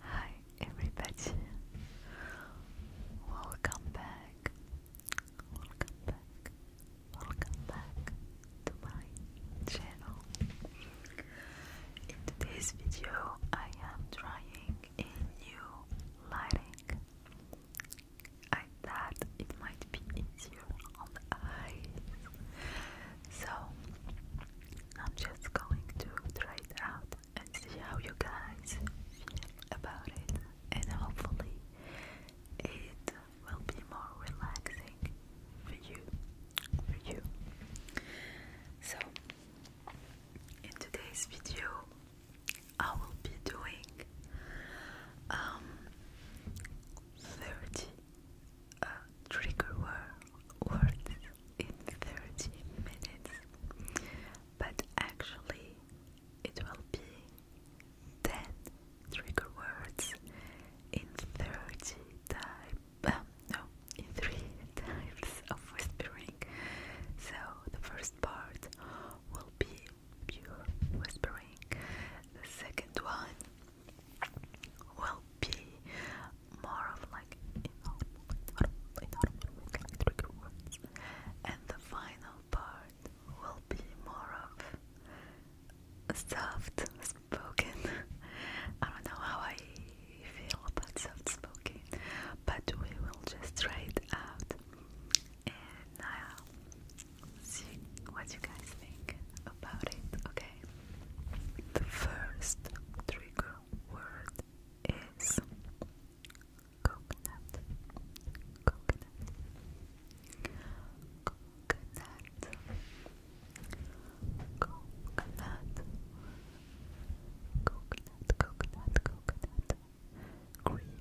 Hi everybody. Welcome back. Welcome back. Welcome back to my channel. In today's video, I am trying a new lighting. I thought it might be easier on eyes. So, I'm just going to try it out and see how you guys feel about it. And hopefully, it will be more relaxing for you. For you. So, in today's video, I will be doing um, 30 uh, trigger word, words in 30 minutes, but actually, it will be 10 trigger words in 30 times. Um, no, in 3 types of whispering. So, the first part will be pure whispering, the second one will be more of like inaudible, inaudible, inaudible with like trigger words. And the final part will be more of soft spoken. I don't know how I feel about soft spoken, but we will just try it out. And I'll see what you guys think about it, okay? The first trigger word is coconut, coconut, coconut, coconut, coconut, coconut, coconut, creamy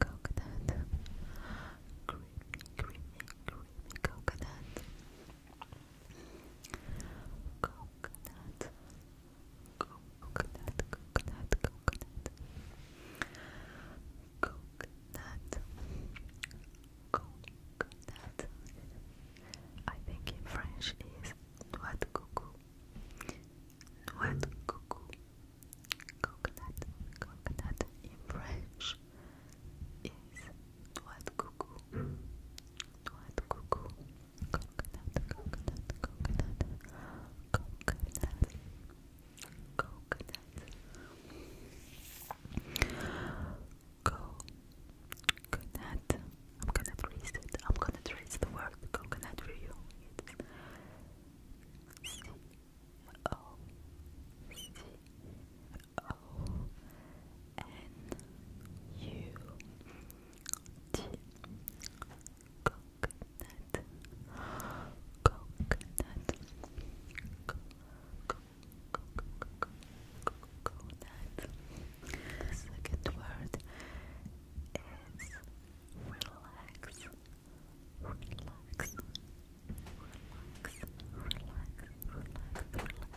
coconut, creamy, creamy, creamy coconut coconut coconut coconut coconut coconut coconut I think in French is what de coco noix coco coconut coconut in French is noix cuckoo. What Coconut, coconut, coconut, coconut, coconut. Coconut. I'm gonna trace it. I'm gonna trace the word coconut for you. It's N U T coconut coconut Co coconut the second word is relax relax relax relax relax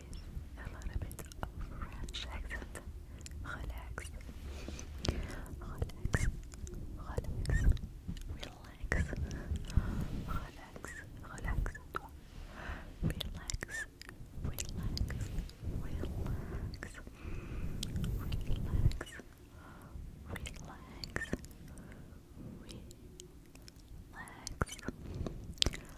a little bit of French Relax, relax, relax, relax, relax, relax, relax, relax. Relax, relax, relax,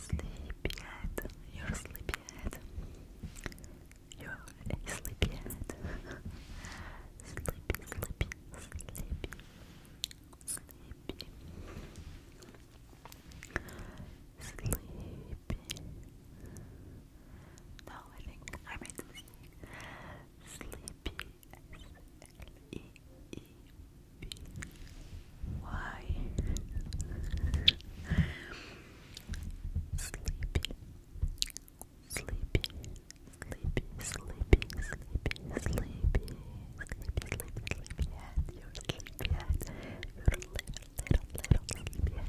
Sleepyhead, you're sleepyhead. You're sleepyhead. sleepy, sleepy, sleepy, sleepy, sleepy. No, I think I made this. Sleepy, S L E E why? sleepy, sleepy, sleepy, sleepy, sleepy, sleepy, sleepy, sleepy, sleepy head. You're little, little, little sleepy head. little, little, little, little,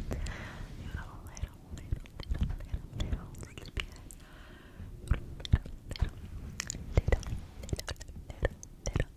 little sleepy little, little, little, little, little, little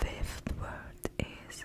Fifth word is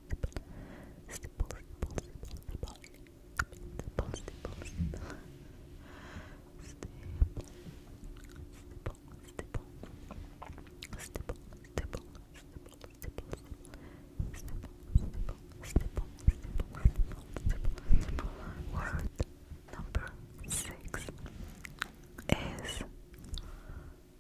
Word number six is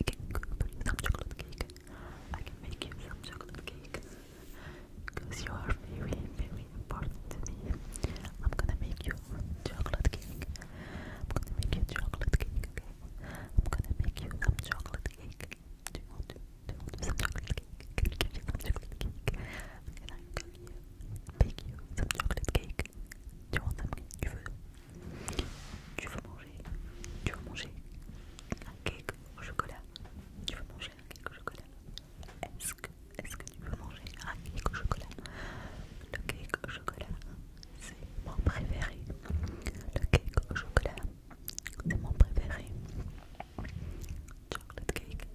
I can cook some chocolate cake. I can make you some chocolate cake. Because you are very, very important to me. I'm gonna make you chocolate cake. I'm gonna make you chocolate cake, okay? I'm gonna make you some chocolate cake. you want, some chocolate cake? Can I some chocolate cake? Can I cook you? Bake you some chocolate cake? you want some cake? You Tu veux manger Tu veux manger un cake au chocolat Tu veux manger un cake au chocolat Est-ce que, que tu veux manger un cake au chocolat Le cake au chocolat, c'est mon préféré. Le cake au chocolat, c'est mon préféré. Chocolate cake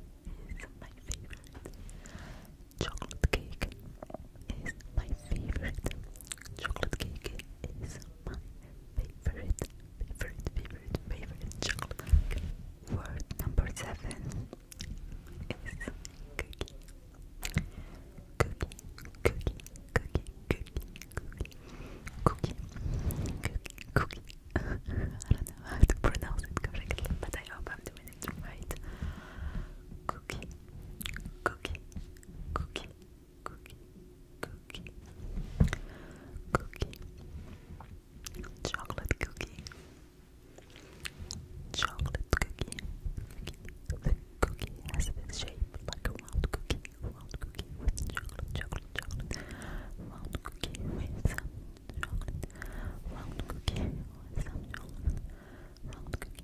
is my favorite. Chocolate cake is my favorite. Chocolate cake is my favorite, favorite, favorite, favorite chocolate cake. Word number seven is cookie. Cookie, cookie, cookie, cookie, cookie, cookie, cookie, I don't know how to pronounce it correctly, but I hope I'm doing it right. Cookie, cookie, cookie, cookie, cookie, cookie, chocolate cookie, chocolate cookie, cookie. The cookie has this shape like a round cookie, round cookie with chocolate, chocolate, chocolate, round cookie with chocolate, round cookie with chocolate, round cookie.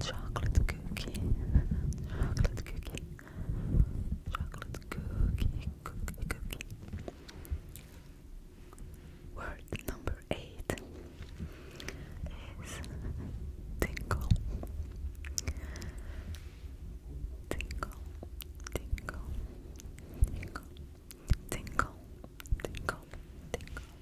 chocolate cookie, chocolate cookie, chocolate cookie, cookie, cookie. Word number eight is tingle, tingle, tingle, tingle, tingle, tingle,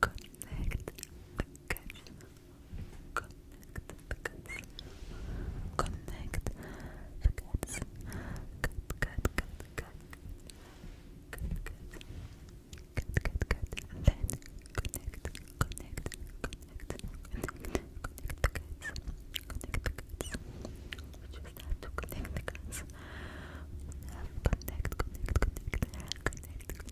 Connect the cuts. Connect the cuts. Connect the cuts. Cut, cut, cut, cut. Cut, cut. Cut, cut, cut. And then connect, connect, connect, connect. Connect the cuts. Connect the cuts. We just have to connect the cuts. Connect, connect, connect, connect, connect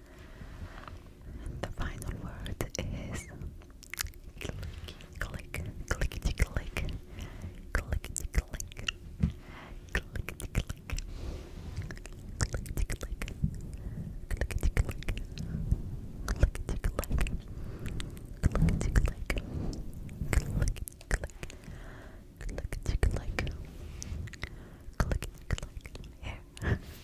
And the final word is clicky click, clickety click, clickety click, clickety click, clickety click, clickety click, clickety click, clickety click, clickety click. Click, tick, click, click, click, here.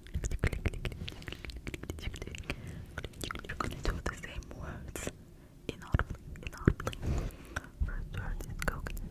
You're gonna do the same words inaudibly, inaudibly. First word is coconut.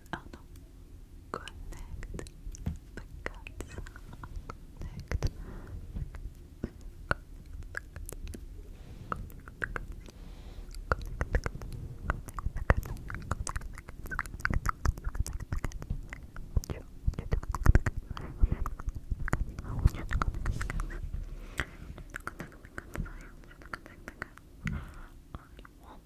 Oh no. Connect the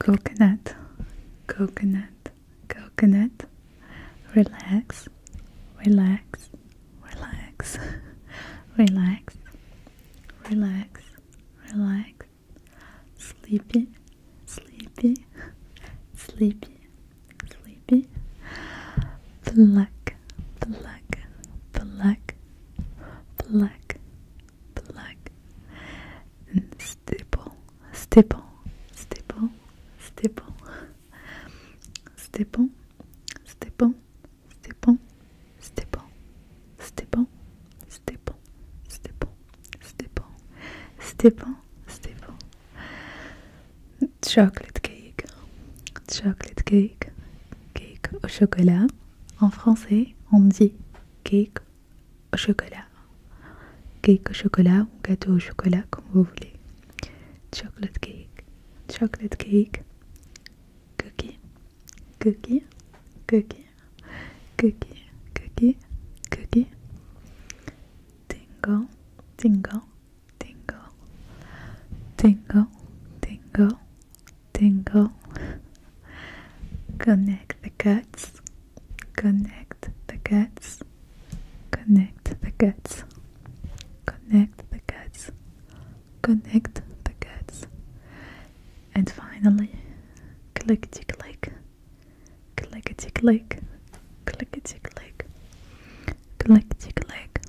Coconut, coconut, coconut. Relax, relax, relax, relax, relax, relax, sleepy, sleepy, sleepy, sleepy, black, black, black, black, black, and stipple, stipple, stipple, stipple, stipple, stipple, stipple, C'était bon. C'était bon. C'était bon. C'était bon. C'était bon. C'était bon. C'était bon. Chocolate cake. Chocolate cake. Cake au chocolat. En français, on dit cake au chocolat. Cake au chocolat ou gâteau au chocolat, comme vous voulez. Chocolate cake. Chocolate cake. Cookie. Cookie. Cookie. cookie, cookie, cookie, tingle, tingle, tingle, tingle, tingle, tingle. Connect the cuts, connect the cuts, connect the cuts, connect the cuts, connect the cuts. And finally, clickety click, clickety click, clickety click, clickety click,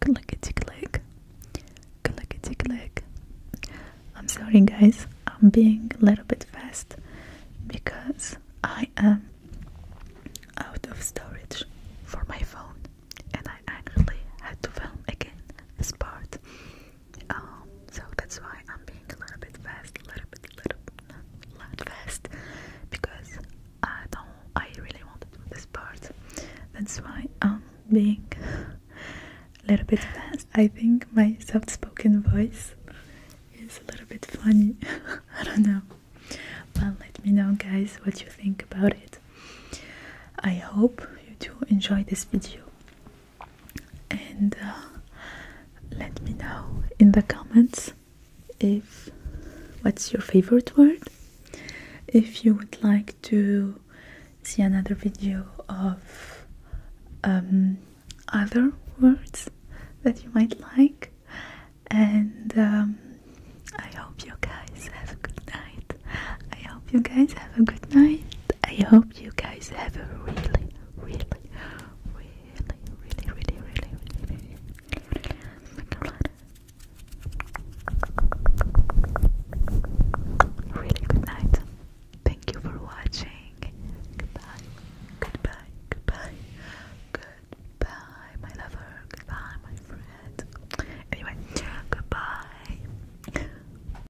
clickety click, clickety click. I'm sorry, guys, I'm being a little bit fast because I am out of storage for my phone and I actually had to film again this part um, so that's why I'm being a little bit fast, a little bit, little not, not fast, because I don't, I really want to do this part. That's why I'm being a little bit fast. I think my soft-spoken voice is a little bit funny. I don't know. But let me know, guys, what you think about it. I hope you do enjoy this video and uh, let me know in the comments if what's your favorite word if you would like to see another video of um, other words that you might like and um, I hope you guys have a good night I hope you guys have a good night I hope you guys have a really, really, really, really, really, really, really, really good night. Thank you for watching. Goodbye, goodbye, goodbye, goodbye, my lover. Goodbye, my friend. Anyway, goodbye.